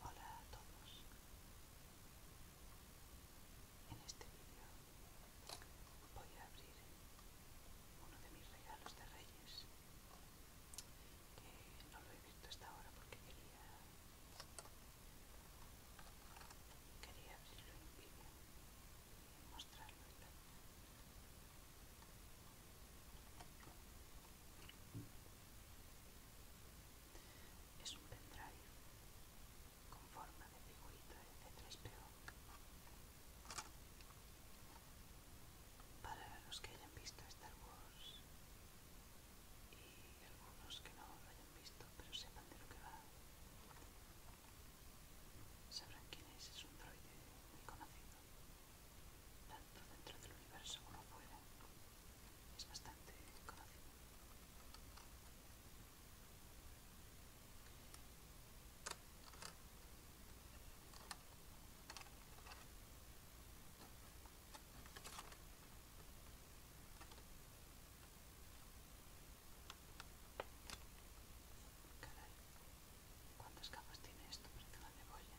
Hola a todos. En este vídeo voy a abrir uno de mis regalos de Reyes que no lo he visto hasta ahora porque quería abrirlo en vídeo y mostrarlo es un pendrive con forma de figurita de c 3 Para los que hayan visto Star Wars y algunos que no lo hayan visto pero sepan de lo que va, sabrán quién es. Es un droide muy conocido tanto dentro del universo como fuera, es bastante conocido. Caray, ¿cuántas capas tiene esto? Parece una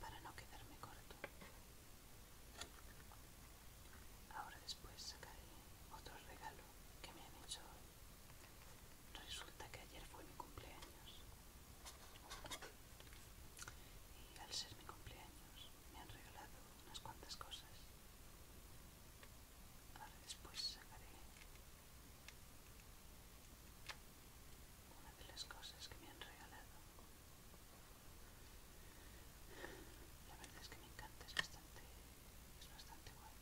para no quedarme corto ahora después sacaré otro regalo que me han hecho hoy Resulta que ayer fue mi cumpleaños. Y al ser mi cumpleaños me han regalado unas cuantas cosas. Ahora después sacaré una de las cosas que me han regalado. La verdad es que me encanta, es bastante, es bastante guay.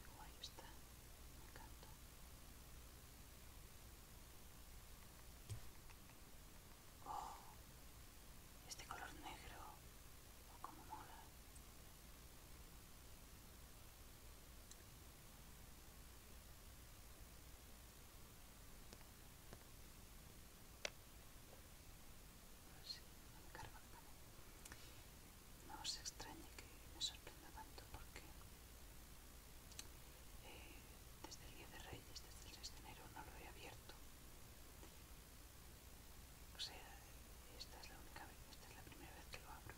Qué guay está, me encanta. Oh, este color negro no me os extrañe que me sorprenda tanto porque eh, desde el día de Reyes, desde el 6 de enero, no lo he abierto. O sea, esta es la única esta es la primera vez que lo abro.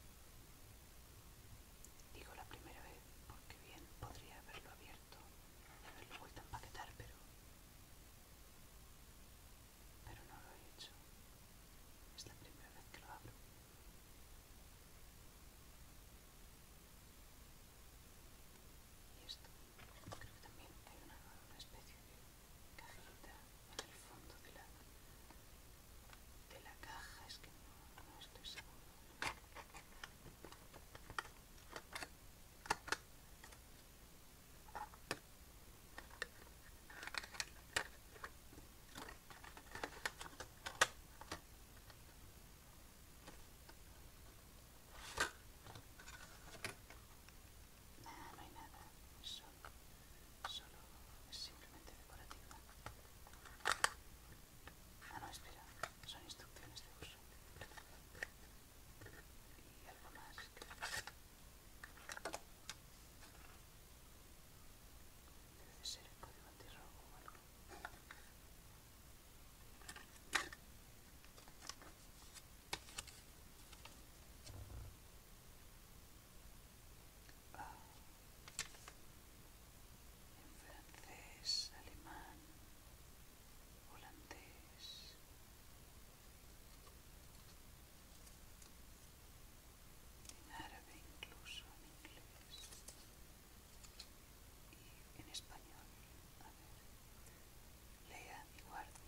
Digo la primera vez porque bien podría haberlo abierto haberlo vuelto a empaquetar, pero. Pero no lo he hecho. Es la primera vez que lo abro. Y esto, creo que también hay una, una especie de cajita en el fondo de la, de la caja, es que no, no estoy seguro. Nada, no hay nada. son solo es simplemente decorativa. Ah, no, espera. Son instrucciones de uso. Y algo más. Debe ser el código o algo en francés, alemán, holandés. En árabe incluso, en inglés y en español lea y guarde.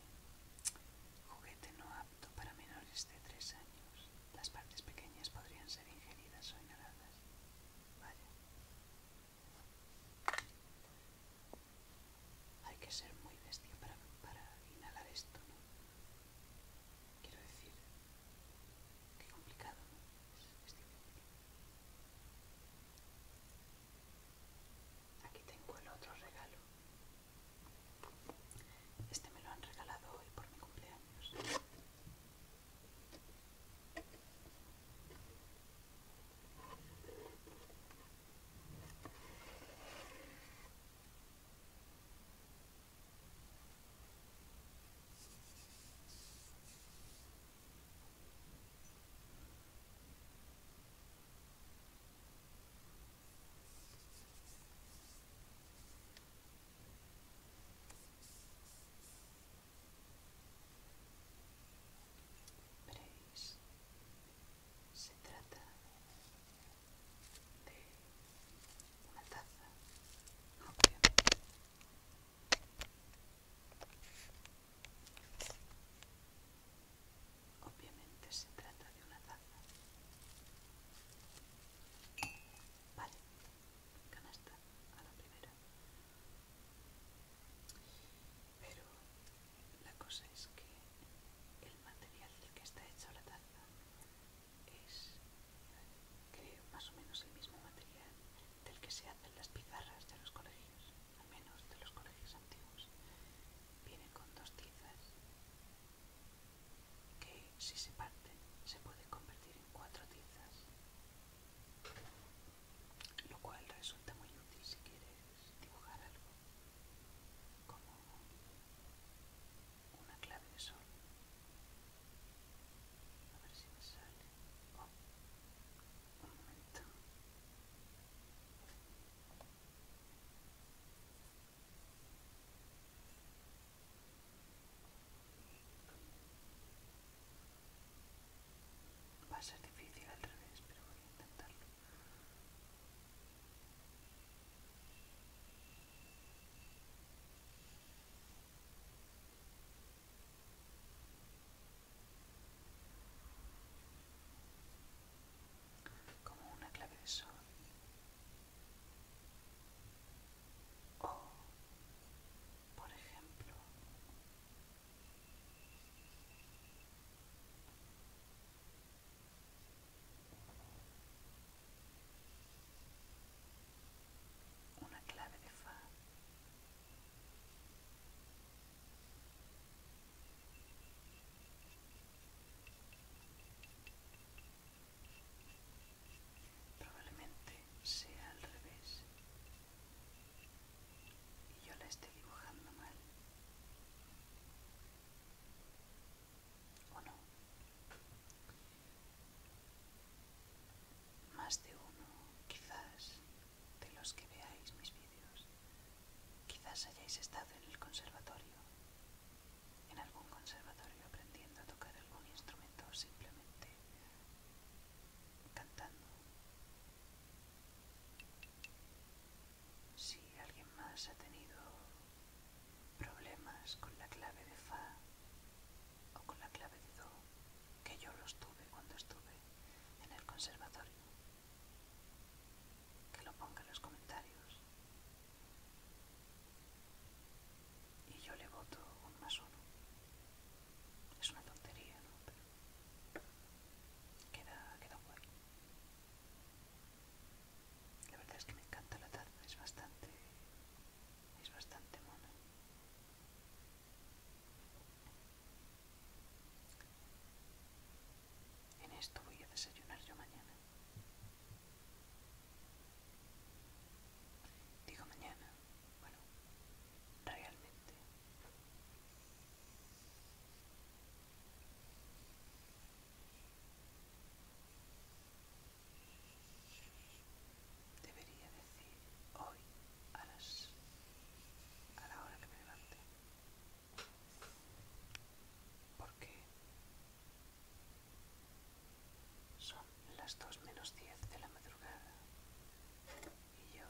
Juguete no apto para menores de 3 años. Las partes pequeñas podrían ser ingeridas o inhaladas. Vale. Hay que ser muy bestia para, inhalar esto, ¿no? Quiero decir, qué complicado, ¿no? es difícil. Aquí tengo el otro regalo. Este me lo han regalado hoy por mi cumpleaños se trata de una taza amplia Obviamente se trata de una taza. Vale, canasta a la primera. Pero la cosa es que el material del que está hecha la taza es, creo, más o menos el mismo material del que se hacen las pizarras de los colegios al menos de los colegios antiguos, viene con dos tizas que si se parten se pueden convertir en cuatro tizas, lo cual resulta muy útil si quieres dibujar algo, como una clave de sol. A ver si me sale. Oh, un momento. Va a ser difícil al revés, pero voy a intentarlo como una clave de sol o, por ejemplo, una clave de fa Probablemente sea al revés y yo la estoy dibujando mal. ¿O no? Más de uno, quizás, de los que veáis mis vídeos. Quizás hayáis estado en el conservatorio, en algún conservatorio aprendiendo a tocar algún instrumento o simplemente cantando. Si alguien más ha tenido problemas con la clave de Fa o con la clave de Do, que yo los tuve cuando estuve en el conservatorio, que lo ponga en los comentarios y yo le voto un más uno. Es una tontería, ¿no? queda, queda La verdad es que me encanta la taza, es bastante, es bastante mona. En esto voy a desayunar yo mañana. Digo mañana, bueno, realmente. Debería decir hoy a a la hora que me levante porque son las 2 menos 10 de la madrugada y yo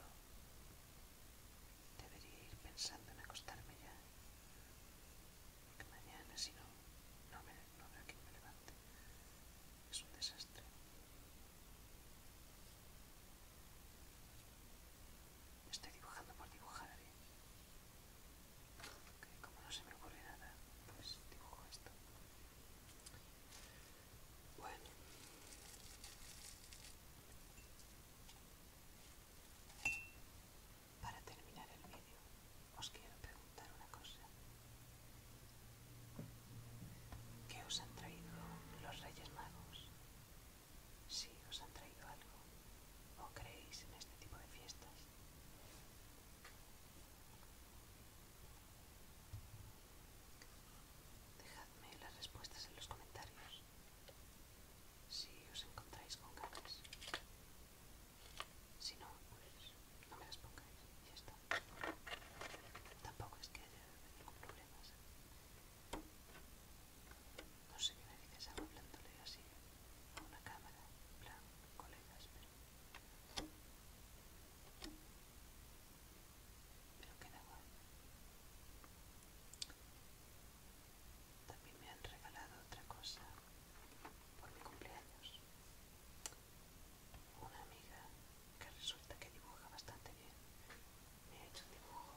debería ir pensando en acostarme ya, mañana si no, no, me, no habrá quien me levante. Es un desastre. Estoy dibujando por dibujar, ¿eh? a como no se me ocurre nada, pues dibujo esto. Bueno. Para terminar el vídeo, os quiero preguntar una cosa. ¿Qué os han traído los Reyes Magos? si os han traído algo o creéis en este tipo de fiestas. Dejadme las respuestas en los comentarios si os encontráis con ganas. Si no, pues, no me las pongáis, ya está. Tampoco es que haya ningún problema. No sé qué narices hago hablándole así a una cámara, en plan, colegas, pero... Pero queda También me han regalado otra cosa por mi cumpleaños. Una amiga que resulta que dibuja bastante bien me he hecho un dibujo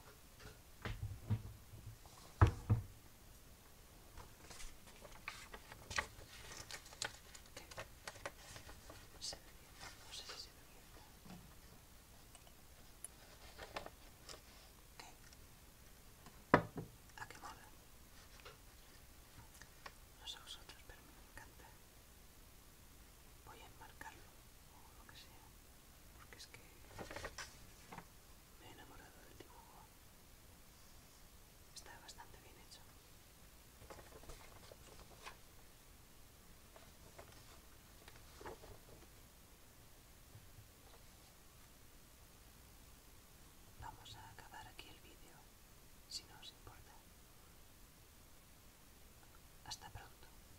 ¿Se ve bien? no sé si se ve bien ¿Qué? ¿a qué mola? no sé vosotros pero me encanta voy a enmarcarlo o lo que sea porque es que me he enamorado del dibujo. Está bastante bien hecho. Vamos a acabar aquí el vídeo, si no os importa. Hasta pronto.